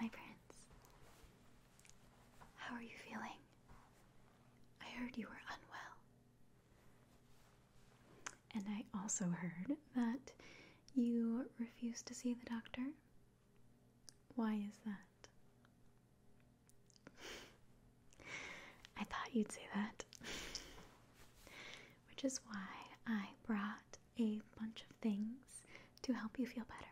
My prince, how are you feeling? I heard you were unwell. And I also heard that you refused to see the doctor. Why is that? I thought you'd say that. Which is why I brought a bunch of things to help you feel better.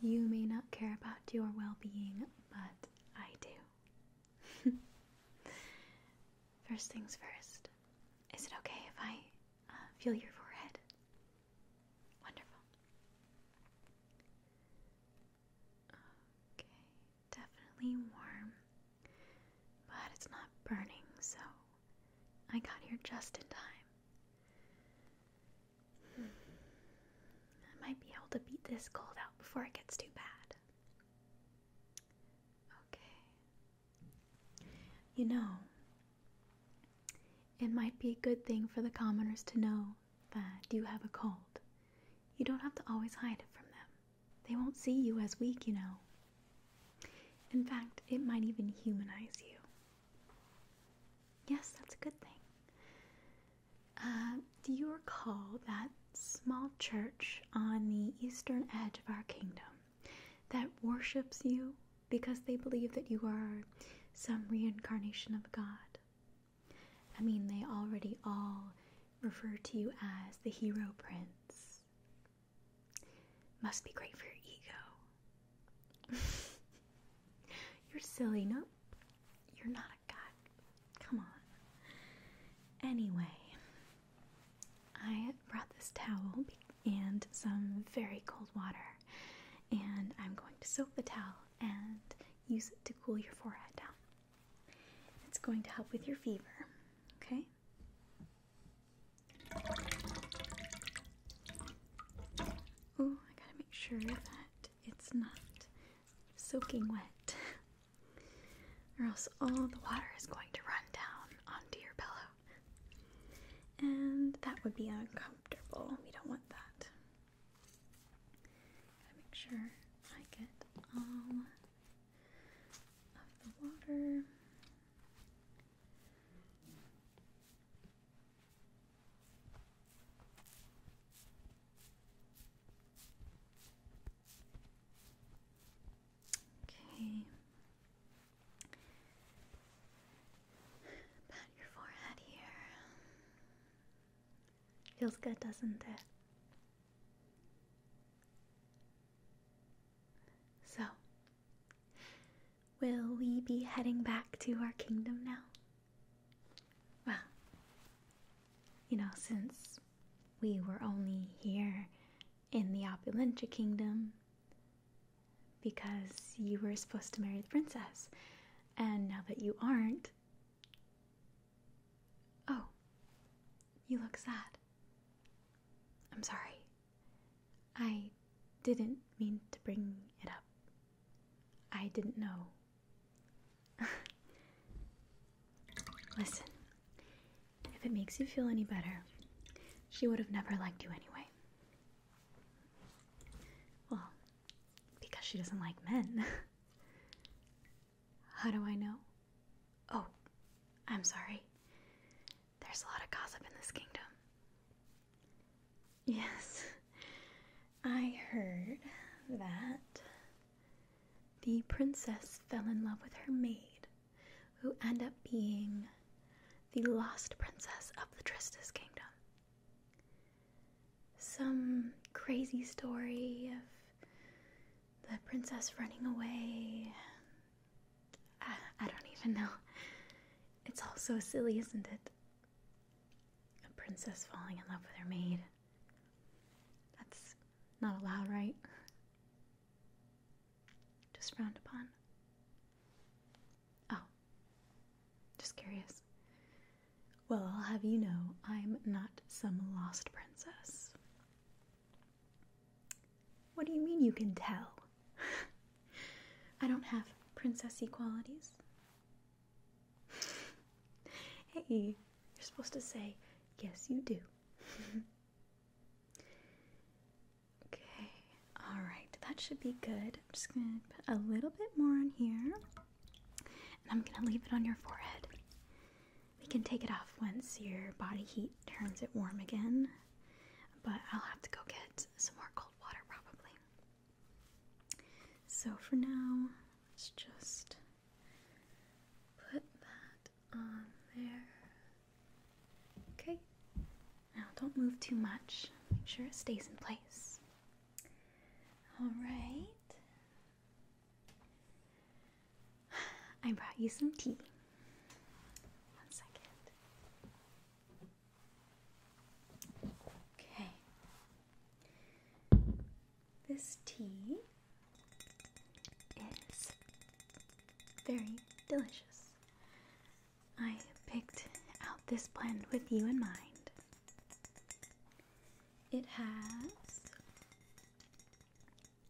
You may not care about your well being, but I do. first things first, is it okay if I uh, feel your forehead? Wonderful. Okay, definitely warm. But it's not burning, so I got here just in time. Hmm. I might be able to beat this cold out before it gets too bad. Okay. You know, it might be a good thing for the commoners to know that you have a cold. You don't have to always hide it from them. They won't see you as weak, you know. In fact, it might even humanize you. Yes, that's a good thing. Uh, do you recall that small church on the eastern edge of our kingdom that worships you because they believe that you are some reincarnation of God? I mean, they already all refer to you as the hero prince must be great for your ego. You're silly, no? You're not a guy. Come on. Anyway, I brought this towel and some very cold water, and I'm going to soak the towel and use it to cool your forehead down. It's going to help with your fever, okay? Oh, I gotta make sure that it's not soaking wet, or else all the water is going to run down onto your pillow. And that would be uncomfortable. We don't want that. Gotta make sure I get all of the water. Okay. Pat your forehead here. Feels good, doesn't it? So, will we be heading back to our kingdom now? Well, you know, since we were only here in the Opulentia Kingdom because you were supposed to marry the princess, and now that you aren't, oh, you look sad. I'm sorry. I didn't mean to bring it up. I didn't know. Listen, if it makes you feel any better, she would have never liked you anyway. Well, because she doesn't like men. How do I know? Oh, I'm sorry. There's a lot of gossip in this kingdom. Yes, I heard that the princess fell in love with her maid, who ended up being the lost princess of the Tristis kingdom. Some crazy story of the princess running away, I, don't even know. It's all so silly, isn't it? A princess falling in love with her maid. That's not allowed, right? Just frowned upon. Oh, just curious. Well, I'll have you know I'm not some lost princess. What do you mean you can tell? I don't have princessy qualities. hey, you're supposed to say, yes, you do. okay, alright, that should be good. I'm just gonna put a little bit more on here, and I'm gonna leave it on your forehead. We can take it off once your body heat turns it warm again, but I'll have to go get some more cold water probably. So for now, let's just put that on there. Okay, now don't move too much, make sure it stays in place. All right. I brought you some tea. One second. Okay. This tea is very delicious. I picked out this blend with you in mind. It has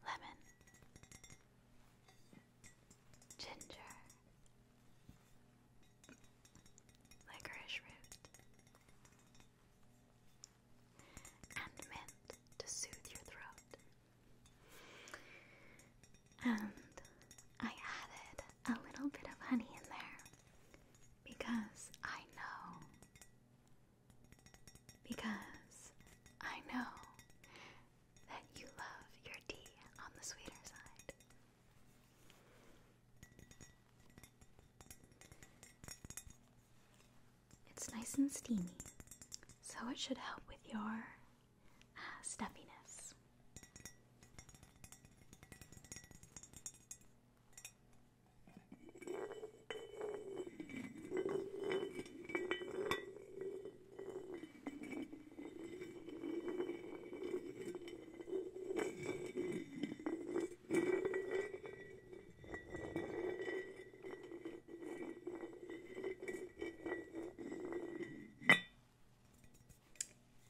lemon, ginger, licorice root, and mint to soothe your throat. And I added a little bit of honey in there because I know because I know that you love your tea on the sweeter side. It's nice and steamy, so it should help with your uh, stuffiness. I'm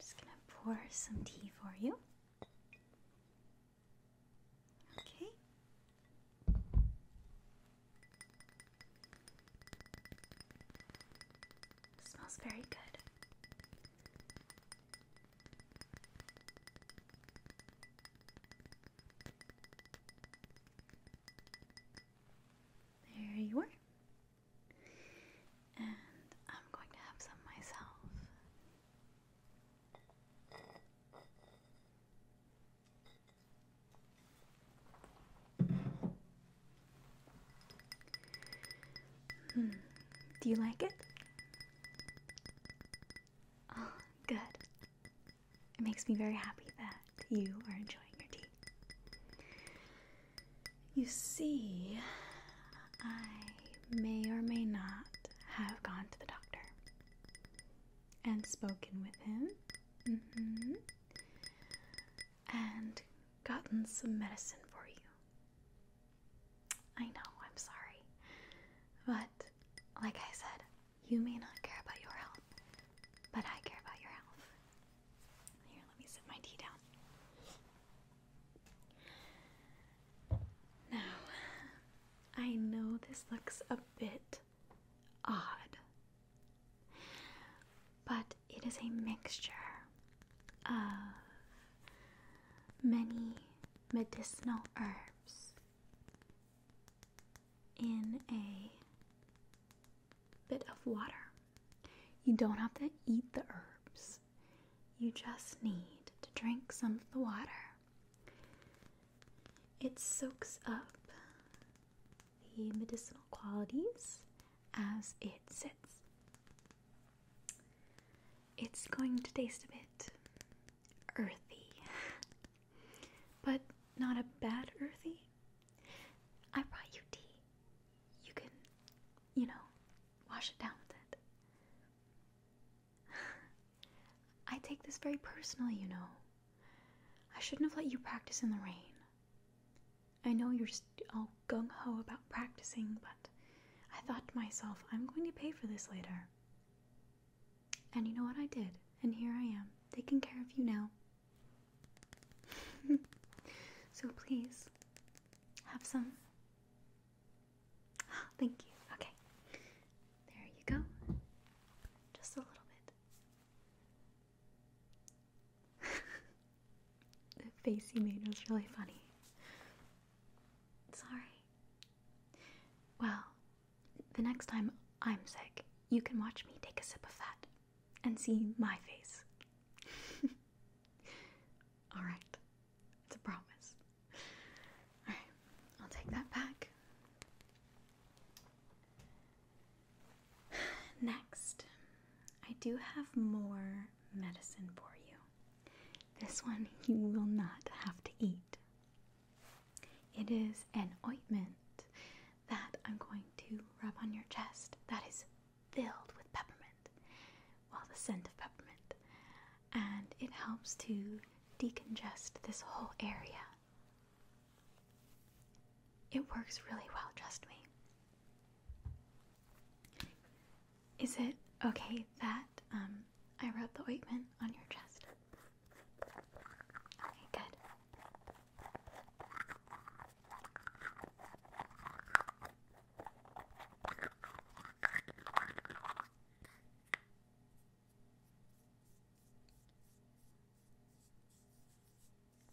just going to pour some tea for you. Okay. Smells very good. There you are. And I'm going to have some myself. Hmm. Do you like it? Oh, good. It makes me very happy that you are enjoying your tea. You see, I may or may not have gone to the doctor and spoken with him Mm-hmm. And gotten some medicine for you. I know, I'm sorry. But, like I said, you may not care about your health, but I care about your health. Here, let me sit my tea down. Now, I know this looks a bit odd. But it is a mixture of many medicinal herbs in a bit of water. You don't have to eat the herbs, you just need to drink some of the water. It soaks up the medicinal qualities as it sits. It's going to taste a bit earthy, but not a bad earthy. I brought you tea. You can, you know, wash it down with it. I take this very personally, you know. I shouldn't have let you practice in the rain. I know you're all gung ho about practicing, but I thought to myself, I'm going to pay for this later. And you know what I did? And here I am, taking care of you now. so please, have some. Thank you. Okay. There you go. Just a little bit the face you made was really funny. Sorry. Well, the next time I'm sick, you can watch me take a sip of that and see my face. Alright, it's a promise. Alright, I'll take that back. Next, I do have more medicine for you. This one you will not have to eat. It is an ointment that I'm going to rub on your chest that is filled with peppermint. while the scent of peppermint. And it helps to decongest this whole area it works really well, trust me. Is it okay that um, I rubbed the ointment on your chest? Okay, good.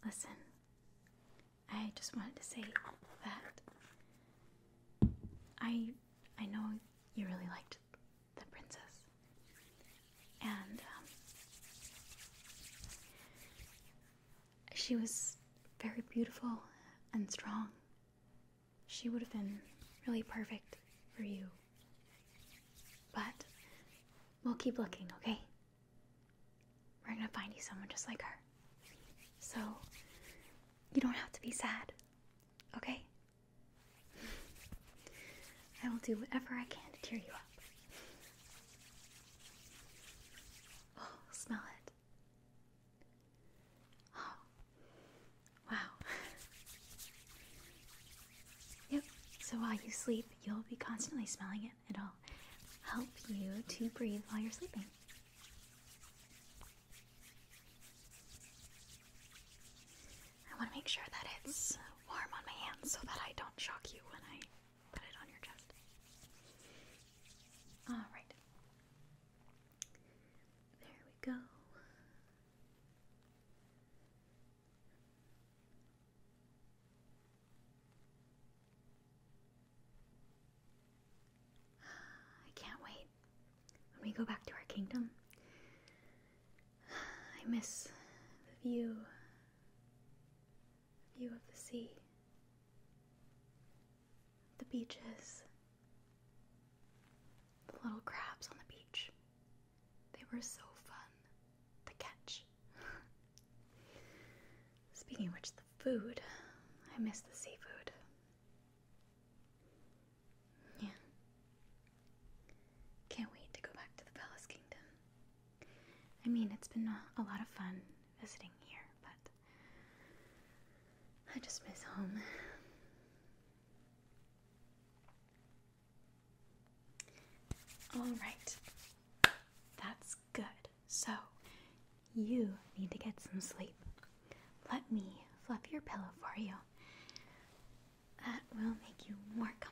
Listen, I just wanted to say that I I know you really liked the princess, and um, she was very beautiful and strong. She would have been really perfect for you, but We'll keep looking, okay? We're gonna find you someone just like her. So, you don't have to be sad, okay? I will do whatever I can to cheer you up. Oh, smell it. Oh, wow. Yep, so while you sleep, you'll be constantly smelling it. It'll help you to breathe while you're sleeping. I want to make sure that it's warm on my hands so that I don't shock you when I put it on your chest. Alright. There we go. I can't wait when we go back to our kingdom. I miss the view, the view of the sea, the beaches, the little crabs on the beach. They were so fun to catch. Speaking of which, the food. I miss the seafood. Yeah. Can't wait to go back to the Palace Kingdom. I mean, it's been a lot of fun visiting here, but I just miss home. All right, that's good. So, you need to get some sleep. Let me fluff your pillow for you. That will make you more comfortable.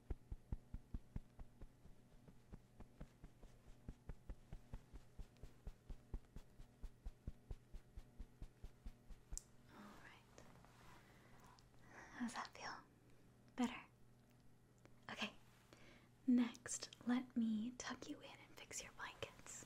Alright. How's that feel? Better? Okay. Next, let me tuck you in and fix your blankets.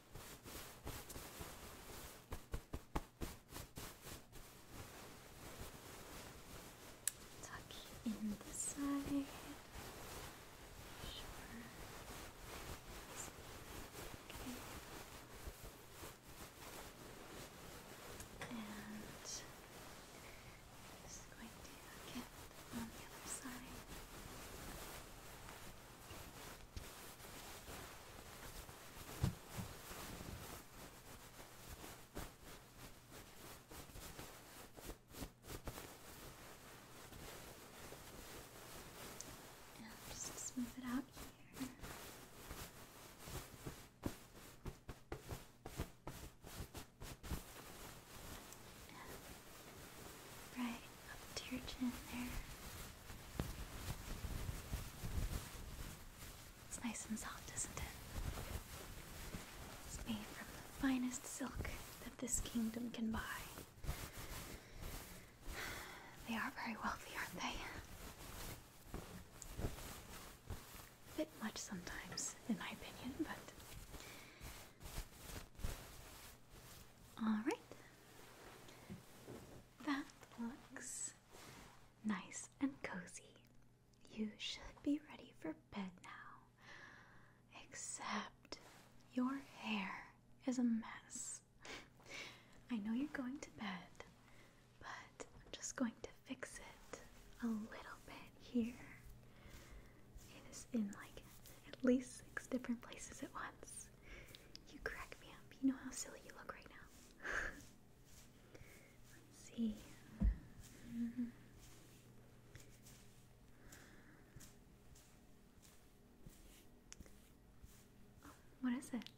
Tuck in the side. Sure. Okay. And just going to get on the other side. And just smooth it out here. And right up to your chin there. It's nice and soft, isn't it? It's made from the finest silk that this kingdom can buy. They are very wealthy, aren't they? A bit much sometimes, in my opinion, but. Alright. That looks nice and cozy. You should be ready for bed now. Except your hair is a mess. I know you're going to bed, but I'm just going to fix it a little bit here. It is in like at least six different places at once. You crack me up. You know how silly you look right now. Let's see. Oh, what is it?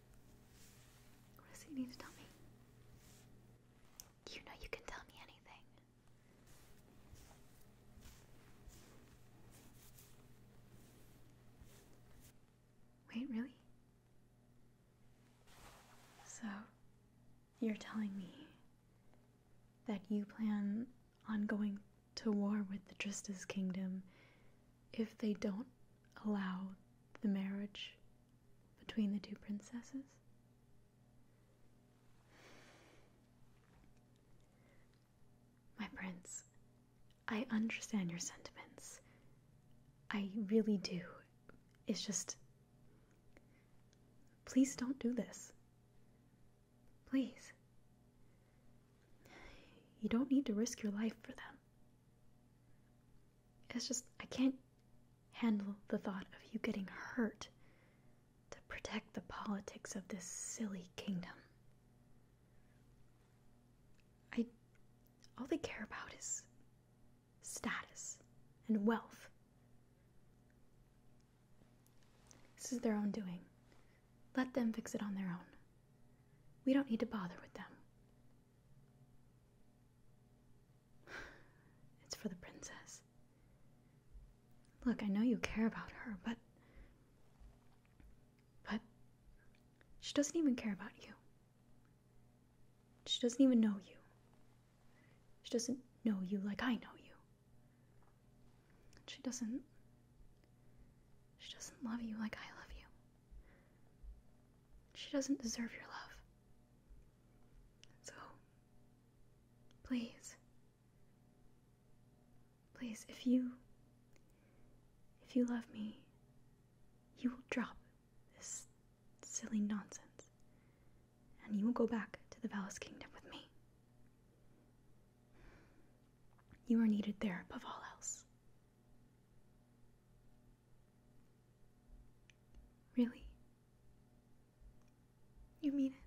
What is it you need to tell me? You know you can tell me anything. Wait, really? So, you're telling me that you plan on going to war with the Trista's kingdom if they don't allow the marriage between the two princesses? My prince, I understand your sentiments. I really do. It's just. Please don't do this. Please. You don't need to risk your life for them. It's just, I can't handle the thought of you getting hurt to protect the politics of this silly kingdom. I all they care about is status and wealth. This is their own doing. Let them fix it on their own. We don't need to bother with them. It's for the princess. Look, I know you care about her, but but she doesn't even care about you. She doesn't even know you. She doesn't know you like I know you. She doesn't. She doesn't love you like I love you. She doesn't deserve your love. So, please, Please, if you if you love me, you will drop this silly nonsense and you will go back to the Valis kingdom with me. You are needed there above all else. Really? You mean it?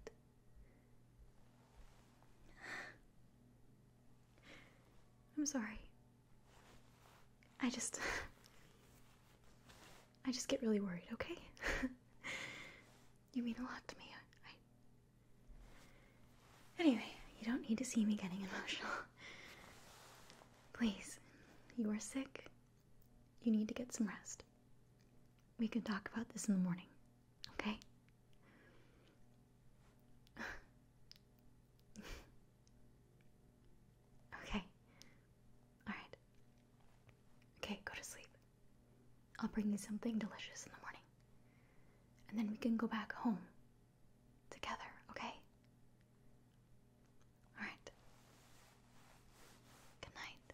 I'm sorry. I just. I just get really worried, okay? you mean a lot to me. Anyway, you don't need to see me getting emotional. Please, you are sick. You need to get some rest. We can talk about this in the morning, Okay? okay. Alright. Okay, go to sleep. I'll bring you something delicious in the morning. And then we can go back home together, okay? Alright. Good night.